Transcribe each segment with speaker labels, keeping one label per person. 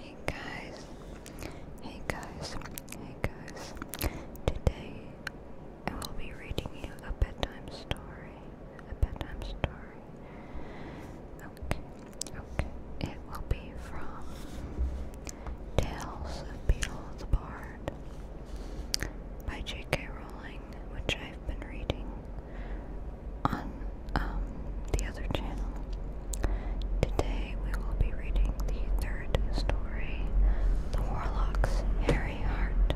Speaker 1: Hey guys, hey guys, hey guys. Today I will be reading you a bedtime story. A bedtime story. Okay, okay. It will be from Tales of Beetle the Bard by J.K. Rowling, which I've been reading on um, the other channel. Today we will be reading the third story, The Warlock's Hairy Heart.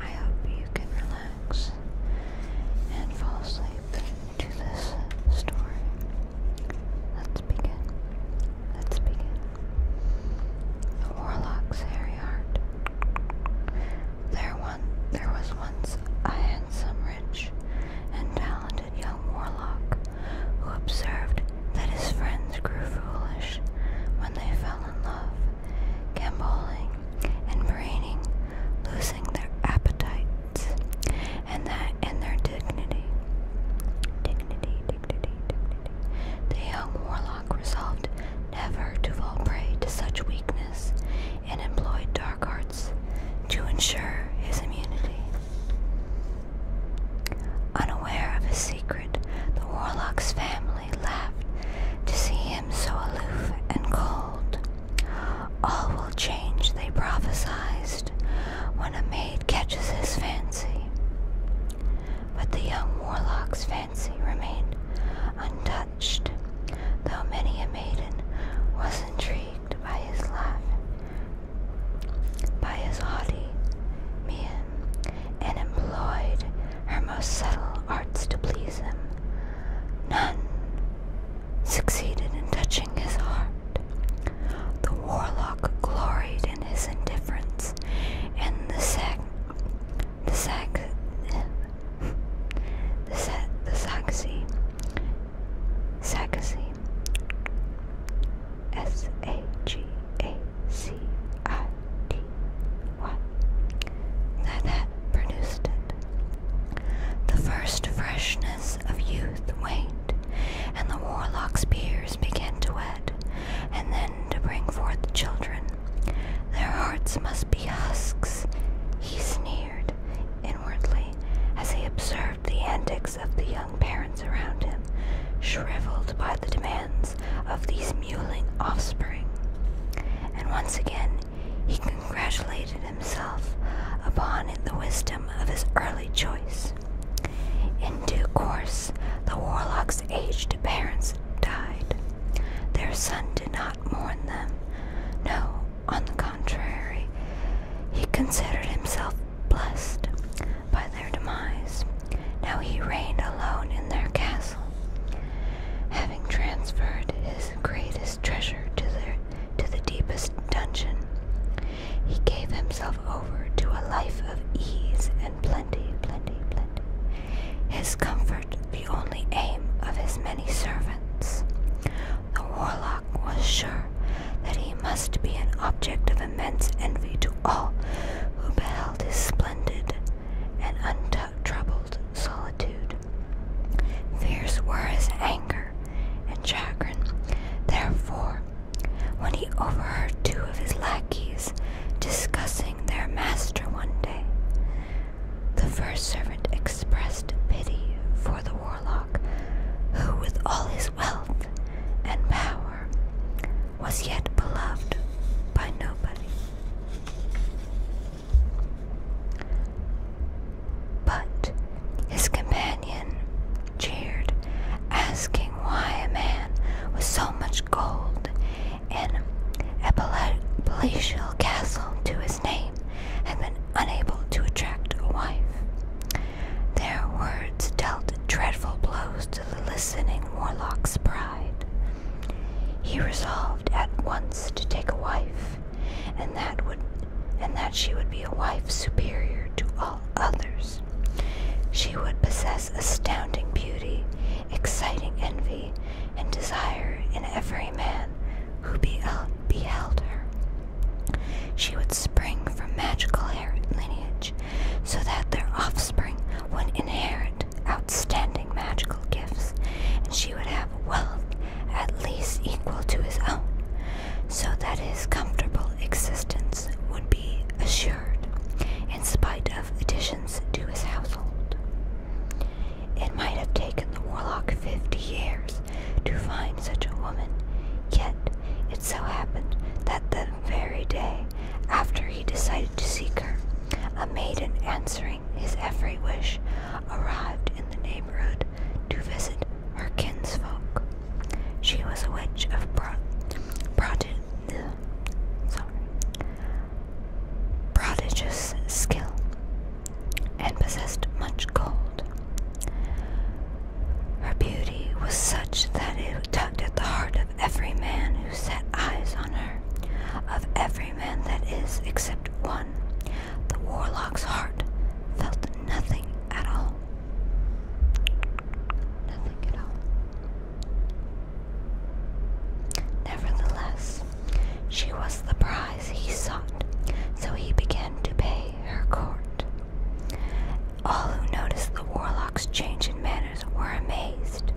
Speaker 1: I hope you can relax and fall asleep to this story. Let's begin. Let's begin. The Warlock's Hairy Heart. There there was once a handsome, rich, and talented young warlock who observed that his friends grew foolish when they fell in love, gamboling and braining, losing their appetites and that and their dignity. Dignity, dignity, dignity. The young warlock resolved never to fall prey to such weakness and employed dark arts to ensure his immunity. Unaware of his secret, the warlock's family laughed to see him so aloof and cold. All will change, they prophesied, when a maid catches his fancy. But the young warlock's fancy remained untouched, though many a maiden was intrigued saved by his love, by his haughty mien, and employed her most subtle arts to please him. None succeeded in touching his heart. The warlock gloried in his indifference, and the sac, the sac, the sa the Saxi Sagacy. S A G A C I T Y. Nanette produced it. The first freshness of youth waned, and the warlock's beards began to wet, and then to bring forth children. Their hearts must be husks, he sneered inwardly as he observed the antics of the young parents around him, shriveled by the demands of these mewling offspring. And once again, he congratulated himself upon the wisdom of his early choice. In due course, the warlock's aged parents died. Their son did not mourn them. No, on the contrary, he considered himself blessed by their demise. Now he reigned alone in their castle, having transferred his greatest treasure to the deepest dungeon. He gave himself over to a life of ease and plenty, plenty, plenty. His comfort the only aim of his many servants. The warlock was sure that he must be an object of immense envy to all who beheld his splendid and untroubled solitude. Fierce were his anger and chagrin, therefore, when he overheard two of his lackeys discussing their master one day. The first servant expressed pity for the warlock, who, with all his wealth and power, was yet beloved by nobody. But his companion jeered, asking why a man with so much gold and a palatial castle to his name had been unable to attract a wife. Their words dealt dreadful blows to the listening warlock's pride. He resolved at once to take a wife, and that would and that she would be a wife superior to all others. She would possess astounding beauty, exciting envy, and desire in every man who beheld her. She would spring from magical lineage so that their offspring would inherit outstanding magical gifts, and she would have wealth at least equal to his own, so that his comfortable existence would be assured in spite of additions to his household. It might have taken the warlock fifty years to find such a woman. Yet it so happened that the very day after he decided to seek her, a maiden answering his every wish arrived in the neighborhood to visit her kinsfolk. She was a witch of prodigious skill, and possessed much gold. Her beauty was such that it tugged at the heart of every man who set eyes on her, of every man that is except one. The warlock's heart felt nothing at all. Nothing at all. Nevertheless, she was the prize he sought, so he began to pay her court. All who noticed the warlock's change in manners were amazed,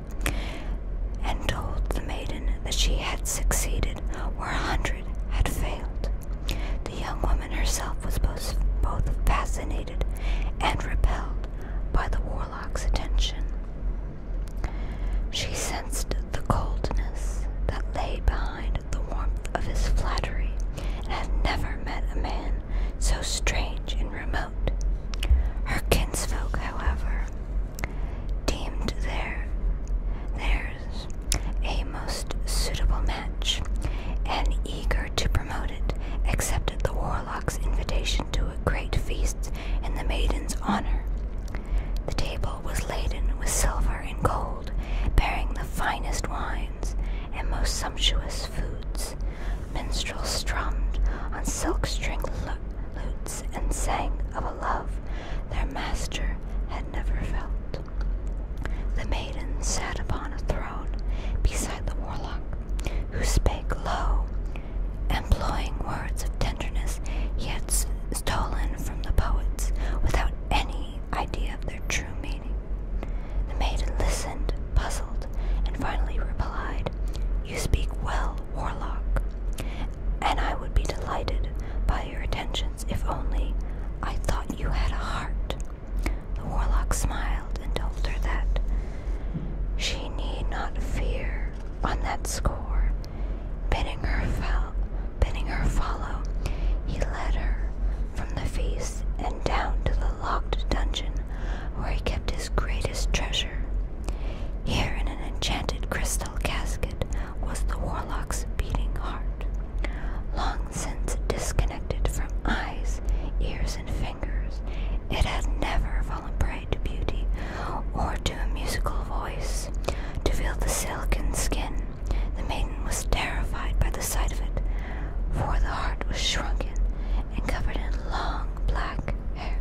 Speaker 1: and told the maiden that she had succeeded where a hundred had failed. The young woman herself was both, both fascinated and repelled by the warlock's attention. She sensed the coldness that lay behind the warmth of his flattery and had never met a man so strange and remote. Her kinsfolk, however, deemed their theirs a most suitable match, and eager to promote it, accepted the warlock's invitation to a great feast in the maiden's honor. The table was laden with silver and gold, bearing the finest wine and most sumptuous foods. Minstrels strummed on silk stringed lutes and sang of a love their master had never felt. The maiden sat upon a throne beside the warlock, who spake low, employing words of tenderness he had stolen from the poets without any idea of their true meaning. The maiden listened, puzzled, and finally replied, You speak well, warlock, and I would be delighted by your attentions if only I thought you had a heart. The warlock smiled and told her that she need not fear on that score. Bidding her, fo bidding her follow, he led her from the feast and down to the locked dungeon where he kept his greatest treasure. Here, in an enchanted crystal casket, was the warlock's beating heart, long since disconnected from eyes, ears, and fingers. It had never fallen prey to beauty or to a musical voice, to feel the silken skin the maiden was terrified by the sight of it, for the heart was shrunken and covered in long black hair.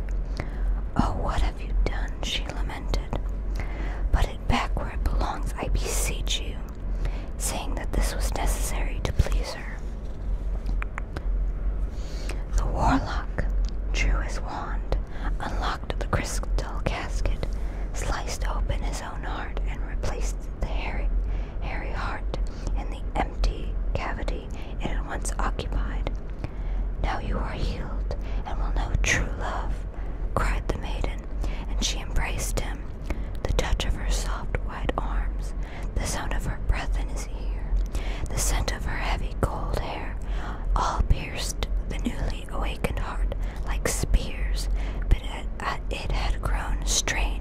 Speaker 1: Oh, what have you done? she lamented. Put it back where it belongs, I beseech you, saying that this was necessary to please her. The warlock drew his wand, unlocked the crystal casket, sliced open his own heart and replaced the hairy, hairy heart in the empty cavity it had once occupied. Now you are healed and will know true love, cried the maiden, and she embraced him. The touch of her soft, white arms, the sound of her breath in his ear, the scent of her heavy, cold hair, all pierced the newly awakened heart like spears, but it had grown strange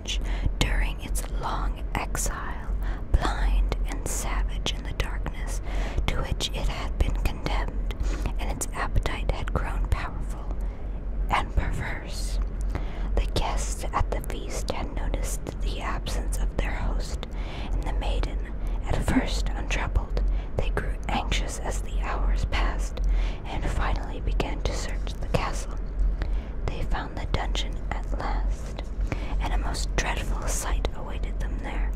Speaker 1: during its long exile, blind and savage in the darkness to which it had been condemned, and its appetite had grown powerful and perverse. The guests at the feast had noticed the absence of their host, and the maiden, at first untroubled, they grew anxious as the hours passed, and finally began to search the castle. They found the dungeon at last, and a most dreadful sight awaited them there.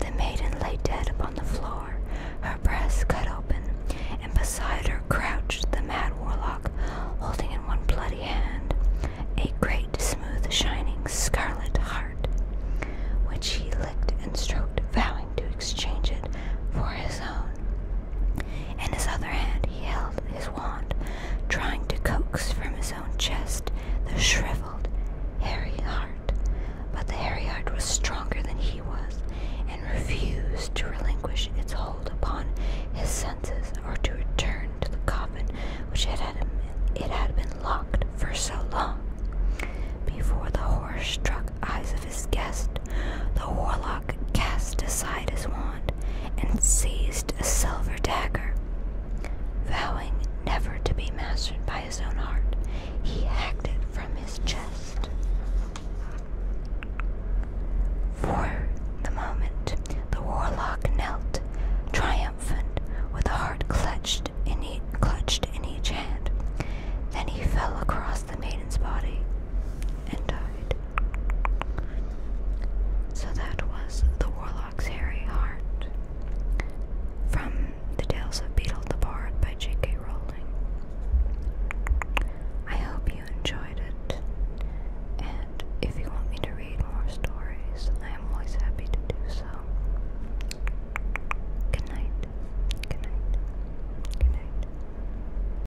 Speaker 1: The maiden lay dead upon the floor, her breast cut open, and beside her crouched the mad warlock, holding in one bloody hand a great, smooth, shining scarlet heart, which he licked and stroked, vowing to exchange it for his own. In his other hand, he held his wand, trying to coax from his own chest the shriveled, hairy heart. But the hairy heart was stronger than he was and refused to relinquish its hold upon his senses or to return to the coffin which had it had been locked for so long. Before the horror struck eyes of his guest, the warlock cast aside his wand and seized a silver dagger. Vowing never to be mastered by his own heart. he hacked it from his chest. For the moment, the warlock knelt, triumphant, with the heart clutched in, clutched in each hand. Then he fell across the maiden's body and died. So that was the Warlock's Hairy Heart from The Tales of Beetle the Bard by J.K. Rowling. I hope you enjoyed it, and if you want me to read more stories, I am always happy to do so. Good night. Good night. Good night.